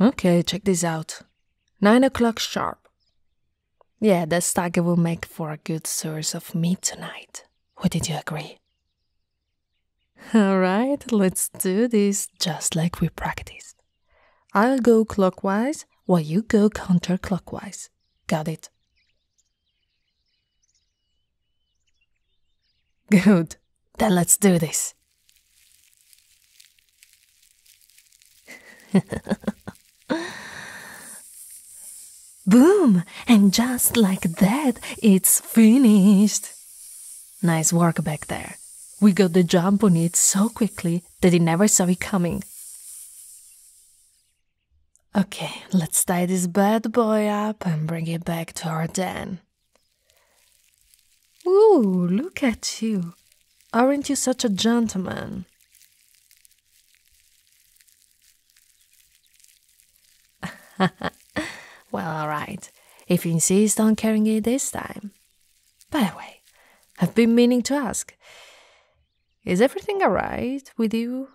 Okay, check this out. 9 o'clock sharp. Yeah, that stag will make for a good source of meat tonight. What did you agree? Alright, let's do this just like we practiced. I'll go clockwise while you go counterclockwise. Got it? Good. Then let's do this. Boom! And just like that, it's finished! Nice work back there. We got the jump on it so quickly that he never saw it coming. Okay, let's tie this bad boy up and bring it back to our den. Ooh, look at you. Aren't you such a gentleman? well, alright, if you insist on carrying it this time. By the way, I've been meaning to ask is everything alright with you?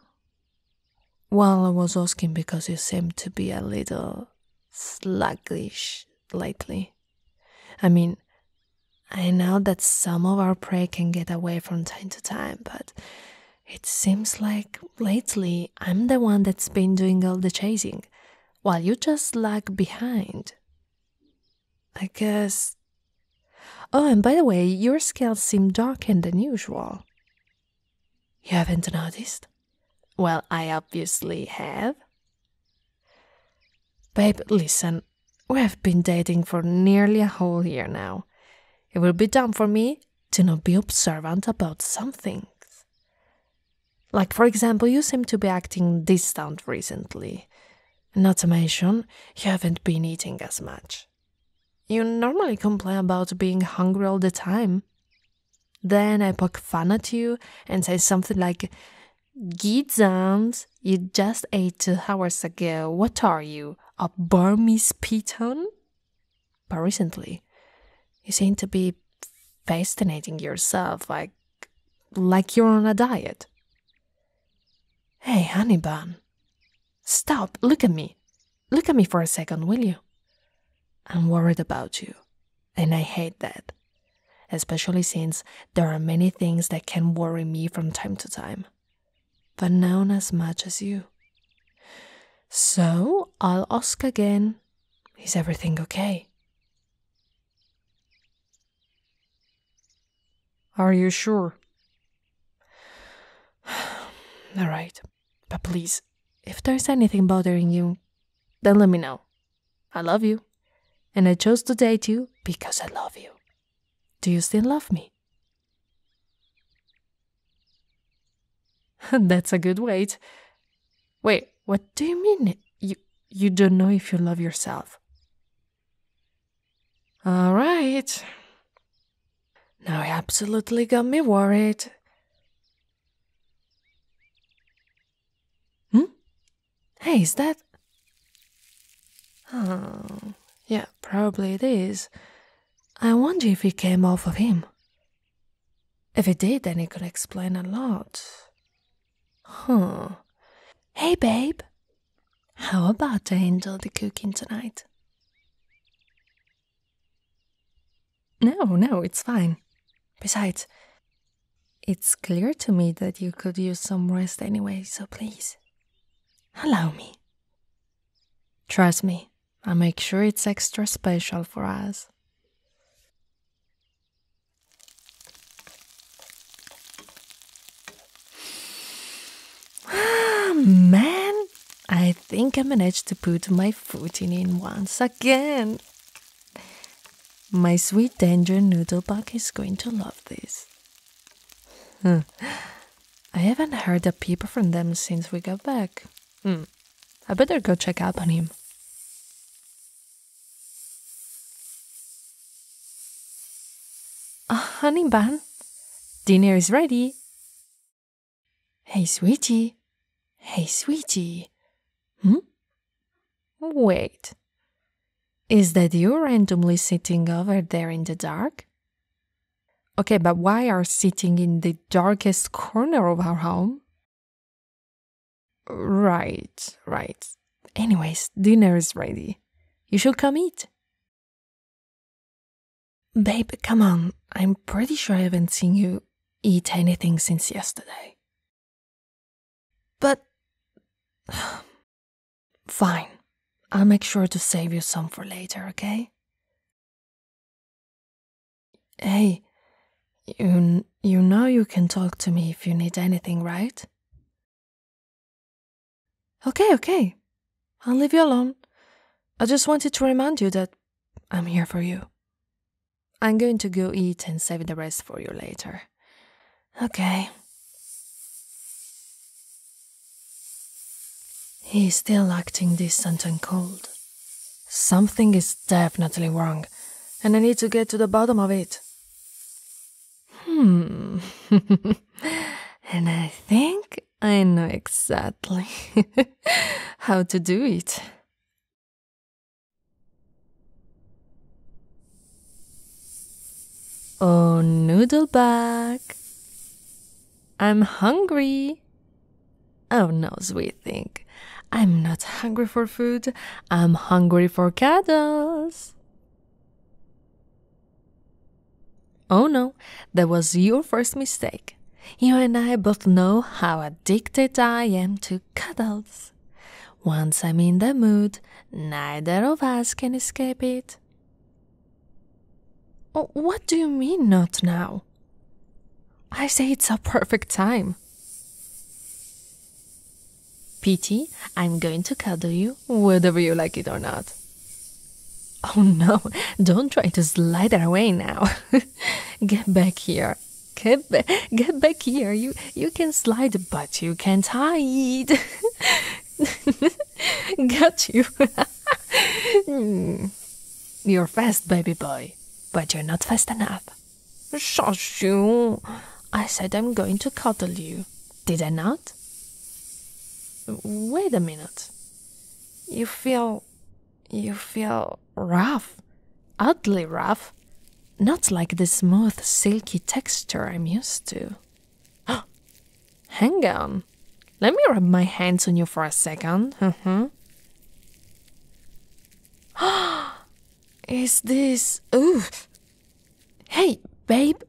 Well, I was asking because you seem to be a little sluggish lately. I mean, I know that some of our prey can get away from time to time, but it seems like lately I'm the one that's been doing all the chasing, while you just lag behind. I guess. Oh, and by the way, your scales seem darker than usual. You haven't noticed? Well, I obviously have. Babe, listen, we have been dating for nearly a whole year now. It will be dumb for me to not be observant about some things. Like, for example, you seem to be acting distant recently. Not to mention, you haven't been eating as much. You normally complain about being hungry all the time. Then I poke fun at you and say something like, Gizzard, you just ate two hours ago. What are you, a Burmese python? But recently, you seem to be fascinating yourself like, like you're on a diet. Hey, Honey Bun, stop, look at me. Look at me for a second, will you? I'm worried about you, and I hate that, especially since there are many things that can worry me from time to time, but none as much as you. So I'll ask again Is everything okay? Are you sure? All right. But please, if there's anything bothering you, then let me know. I love you. And I chose to date you because I love you. Do you still love me? That's a good wait. Wait, what do you mean you you don't know if you love yourself? All right. Now he absolutely got me worried. Hm? Hey, is that. Oh, yeah, probably it is. I wonder if it came off of him. If it did, then it could explain a lot. Huh. Hey, babe. How about I handle the cooking tonight? No, no, it's fine. Besides, it's clear to me that you could use some rest anyway, so please, allow me. Trust me, i make sure it's extra special for us. Man, I think I managed to put my footing in once again. My sweet danger noodlebug is going to love this. Hmm. I haven't heard a peep from them since we got back. Hmm. I better go check up on him. Ah, honey bun, dinner is ready. Hey, sweetie. Hey, sweetie. Hmm? Wait. Is that you randomly sitting over there in the dark? Okay, but why are sitting in the darkest corner of our home? Right, right. Anyways, dinner is ready. You should come eat. Babe, come on. I'm pretty sure I haven't seen you eat anything since yesterday. But. Fine. I'll make sure to save you some for later, okay? Hey, you, you know you can talk to me if you need anything, right? Okay, okay. I'll leave you alone. I just wanted to remind you that I'm here for you. I'm going to go eat and save the rest for you later. Okay. He's still acting distant and cold. Something is definitely wrong, and I need to get to the bottom of it. Hmm. and I think I know exactly how to do it. Oh, noodle Noodleback, I'm hungry. Oh no, sweet thing. I'm not hungry for food, I'm hungry for cuddles. Oh no, that was your first mistake. You and I both know how addicted I am to cuddles. Once I'm in the mood, neither of us can escape it. Oh, what do you mean, not now? I say it's a perfect time. Pity, I'm going to cuddle you, whether you like it or not. Oh no, don't try to slide away now. get back here. Get, ba get back here. You, you can slide, but you can't hide. Got you. Hmm. you're fast, baby boy, but you're not fast enough. Shush you. I said I'm going to cuddle you. Did I not? Wait a minute. You feel. you feel rough. Oddly rough. Not like the smooth, silky texture I'm used to. Hang on. Let me rub my hands on you for a second. Uh mm-hmm. huh. Is this. Oof. Hey, babe!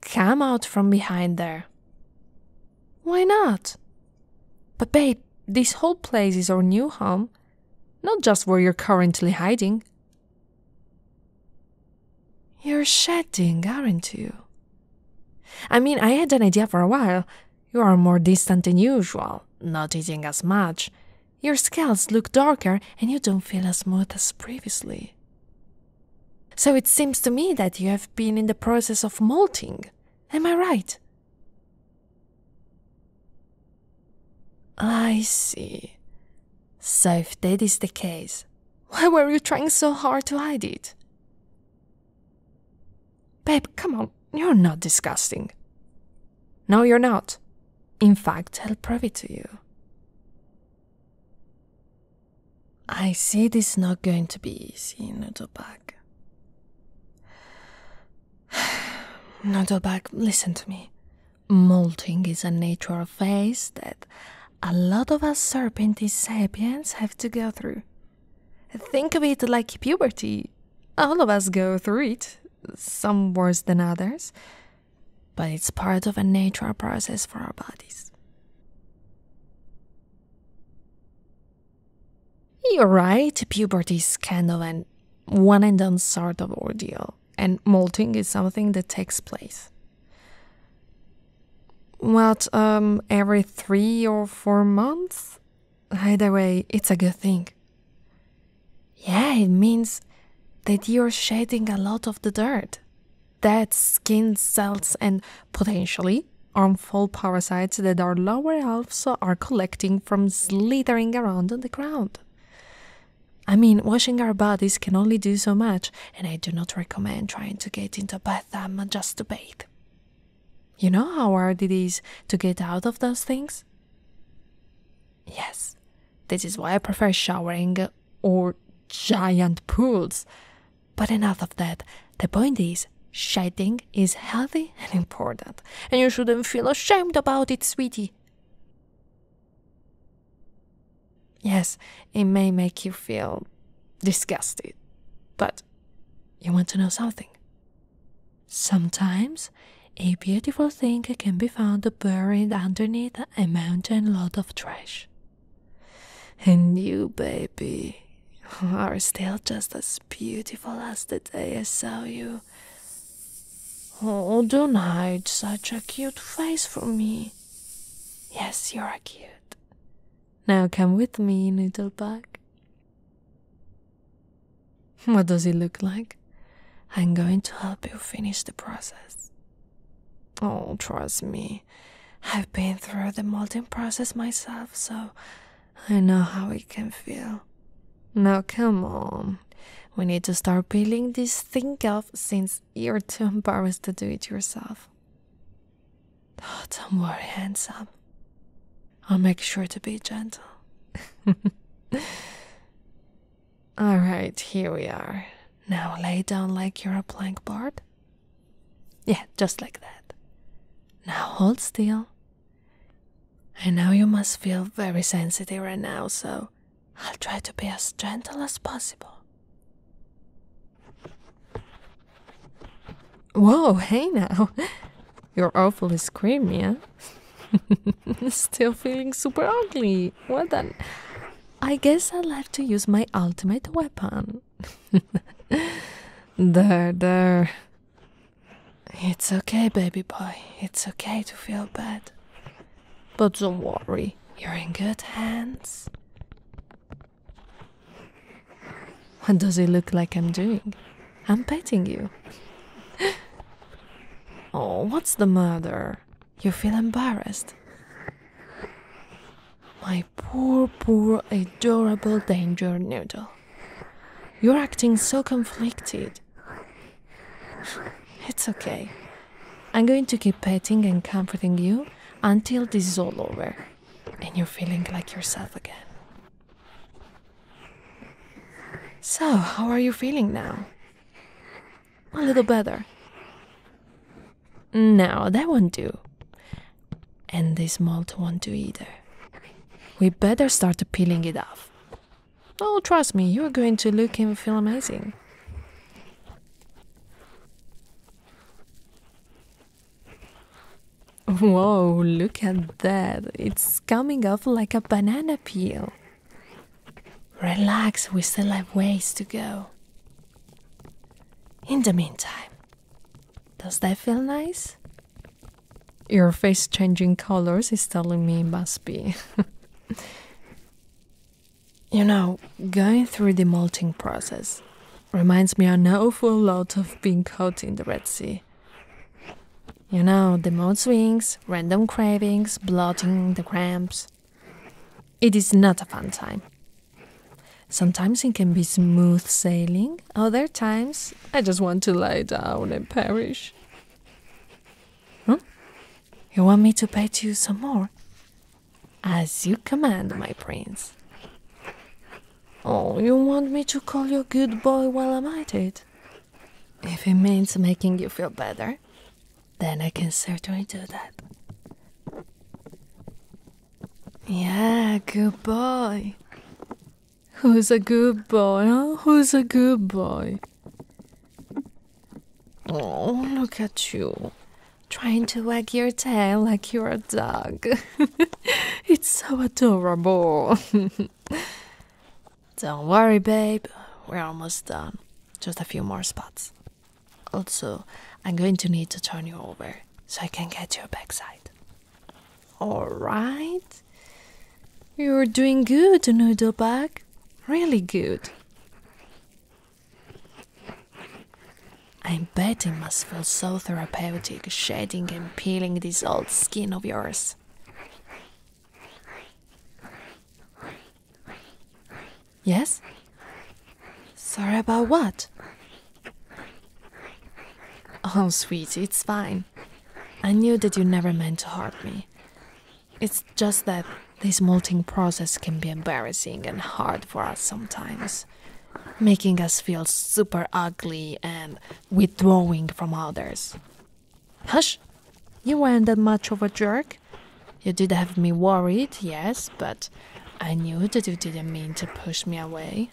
Come out from behind there. Why not? But, babe, this whole place is our new home, not just where you're currently hiding. You're shedding, aren't you? I mean, I had an idea for a while. You are more distant than usual, not eating as much. Your scales look darker and you don't feel as smooth as previously. So it seems to me that you have been in the process of molting. Am I right? I see. So if that is the case, why were you trying so hard to hide it? Babe, come on, you're not disgusting. No, you're not. In fact, I'll prove it to you. I see this is not going to be easy, Nodobag. Nodobag, listen to me. Molting is a natural phase that a lot of us serpentine sapiens have to go through. Think of it like puberty. All of us go through it, some worse than others, but it's part of a natural process for our bodies. You're right, puberty is kind of an one and done sort of ordeal, and molting is something that takes place. What, um, every three or four months? Either way, it's a good thing. Yeah, it means that you're shedding a lot of the dirt, dead skin cells and potentially harmful parasites that our lower elves are collecting from slithering around on the ground. I mean, washing our bodies can only do so much, and I do not recommend trying to get into a bathtub just to bathe. You know how hard it is to get out of those things? Yes, this is why I prefer showering or giant pools. But enough of that. The point is, shitting is healthy and important, and you shouldn't feel ashamed about it, sweetie. Yes, it may make you feel disgusted, but you want to know something. Sometimes a beautiful thing can be found buried underneath a mountain load of trash. And you, baby, are still just as beautiful as the day I saw you. Oh, don't hide such a cute face from me. Yes, you are cute. Now come with me, little Noodlebug. What does it look like? I'm going to help you finish the process. Oh, trust me. I've been through the molting process myself, so I know how it can feel. Now, come on. We need to start peeling this thing off since you're too embarrassed to do it yourself. Oh, don't worry, handsome. I'll make sure to be gentle. Alright, here we are. Now lay down like you're a plankboard. Yeah, just like that. Now hold still. I know you must feel very sensitive right now, so I'll try to be as gentle as possible. Whoa, hey now. You're awfully screamy, Still feeling super ugly. What an I guess I'll have to use my ultimate weapon. there, there. It's okay, baby boy. It's okay to feel bad. But don't worry, you're in good hands. What does it look like I'm doing? I'm petting you. oh, what's the matter? You feel embarrassed. My poor, poor, adorable danger noodle. You're acting so conflicted. It's okay. I'm going to keep petting and comforting you until this is all over and you're feeling like yourself again. So, how are you feeling now? A little better. No, that won't do. And this malt won't do either. We better start peeling it off. Oh, trust me, you're going to look and feel amazing. Whoa, look at that. It's coming off like a banana peel. Relax, we still have ways to go. In the meantime, does that feel nice? Your face changing colors is telling me it must be. you know, going through the molting process reminds me an awful lot of being caught in the Red Sea. You know, the mood swings, random cravings, bloating, the cramps. It is not a fun time, Sometimes it can be smooth sailing, other times I just want to lie down and perish. Huh? Hmm? You want me to pet you some more? As you command, my prince. Oh, you want me to call you good boy while I'm at it? If it means making you feel better, then I can certainly do that. Yeah, good boy. Who's a good boy? Huh? Who's a good boy? Oh, look at you. Trying to wag your tail like you're a dog. it's so adorable. Don't worry, babe. We're almost done. Just a few more spots. Also, I'm going to need to turn you over so I can get your backside. Alright. You're doing good, noodle bag. Really good. I bet it must feel so therapeutic shedding and peeling this old skin of yours. Yes? Sorry about what? Oh, sweetie, it's fine. I knew that you never meant to hurt me. It's just that this molting process can be embarrassing and hard for us sometimes, making us feel super ugly and withdrawing from others. Hush! You weren't that much of a jerk. You did have me worried, yes, but I knew that you didn't mean to push me away.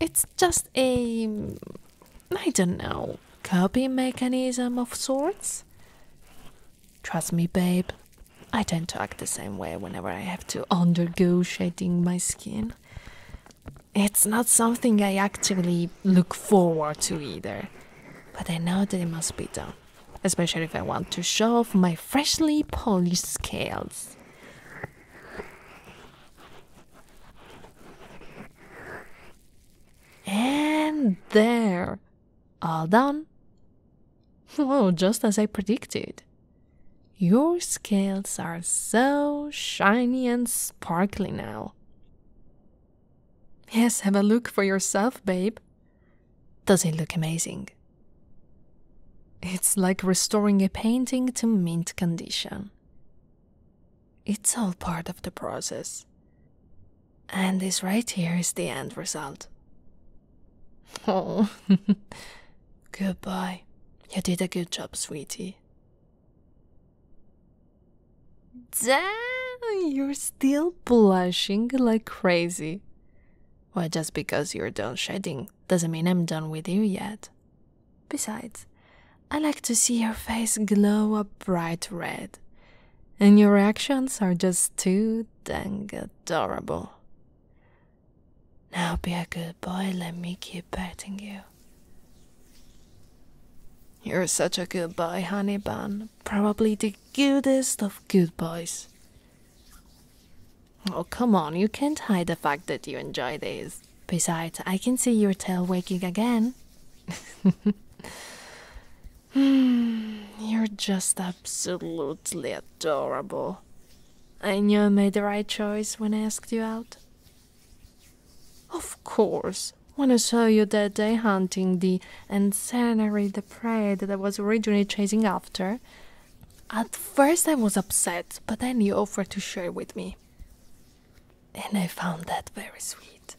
It's just a. Mm, I don't know, coping mechanism of sorts? Trust me, babe, I tend to act the same way whenever I have to undergo shading my skin. It's not something I actively look forward to either, but I know that it must be done especially if I want to show off my freshly polished scales. And there! All done! Oh, just as I predicted. Your scales are so shiny and sparkly now. Yes, have a look for yourself, babe. Does it look amazing? It's like restoring a painting to mint condition. It's all part of the process. And this right here is the end result. Oh, goodbye. You did a good job, sweetie. Damn, you're still blushing like crazy. Well, just because you're done shedding doesn't mean I'm done with you yet. Besides, I like to see your face glow a bright red, and your actions are just too dang adorable. Now be a good boy, let me keep petting you. You're such a good boy, honey bun, probably the goodest of good boys. Oh, come on, you can't hide the fact that you enjoy this. Besides, I can see your tail wagging again. You're just absolutely adorable. I knew I made the right choice when I asked you out. Of course, when I saw you that day hunting the ensanary the prey that I was originally chasing after. At first, I was upset, but then you offered to share with me. And I found that very sweet.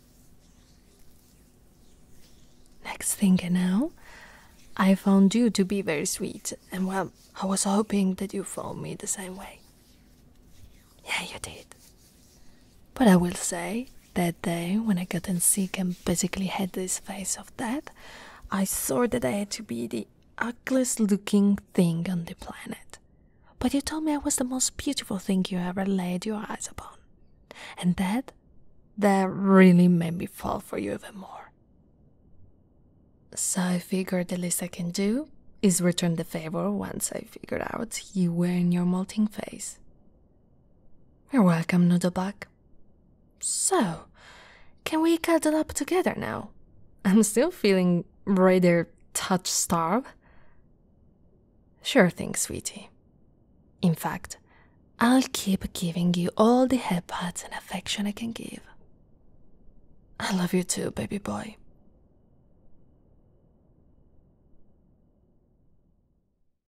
Next thing I know, I found you to be very sweet, and well, I was hoping that you found me the same way. Yeah, you did. But I will say, that day when I got in sick and basically had this face of death, I swore that I had to be the ugliest looking thing on the planet. But you told me I was the most beautiful thing you ever laid your eyes upon. And that, that really made me fall for you even more. So I figured the least I can do is return the favor once I figured out you were in your molting phase. You're welcome, Noodlebug. So, can we cuddle up together now? I'm still feeling rather touch starved. Sure thing, sweetie. In fact, I'll keep giving you all the headbutts and affection I can give. I love you too, baby boy.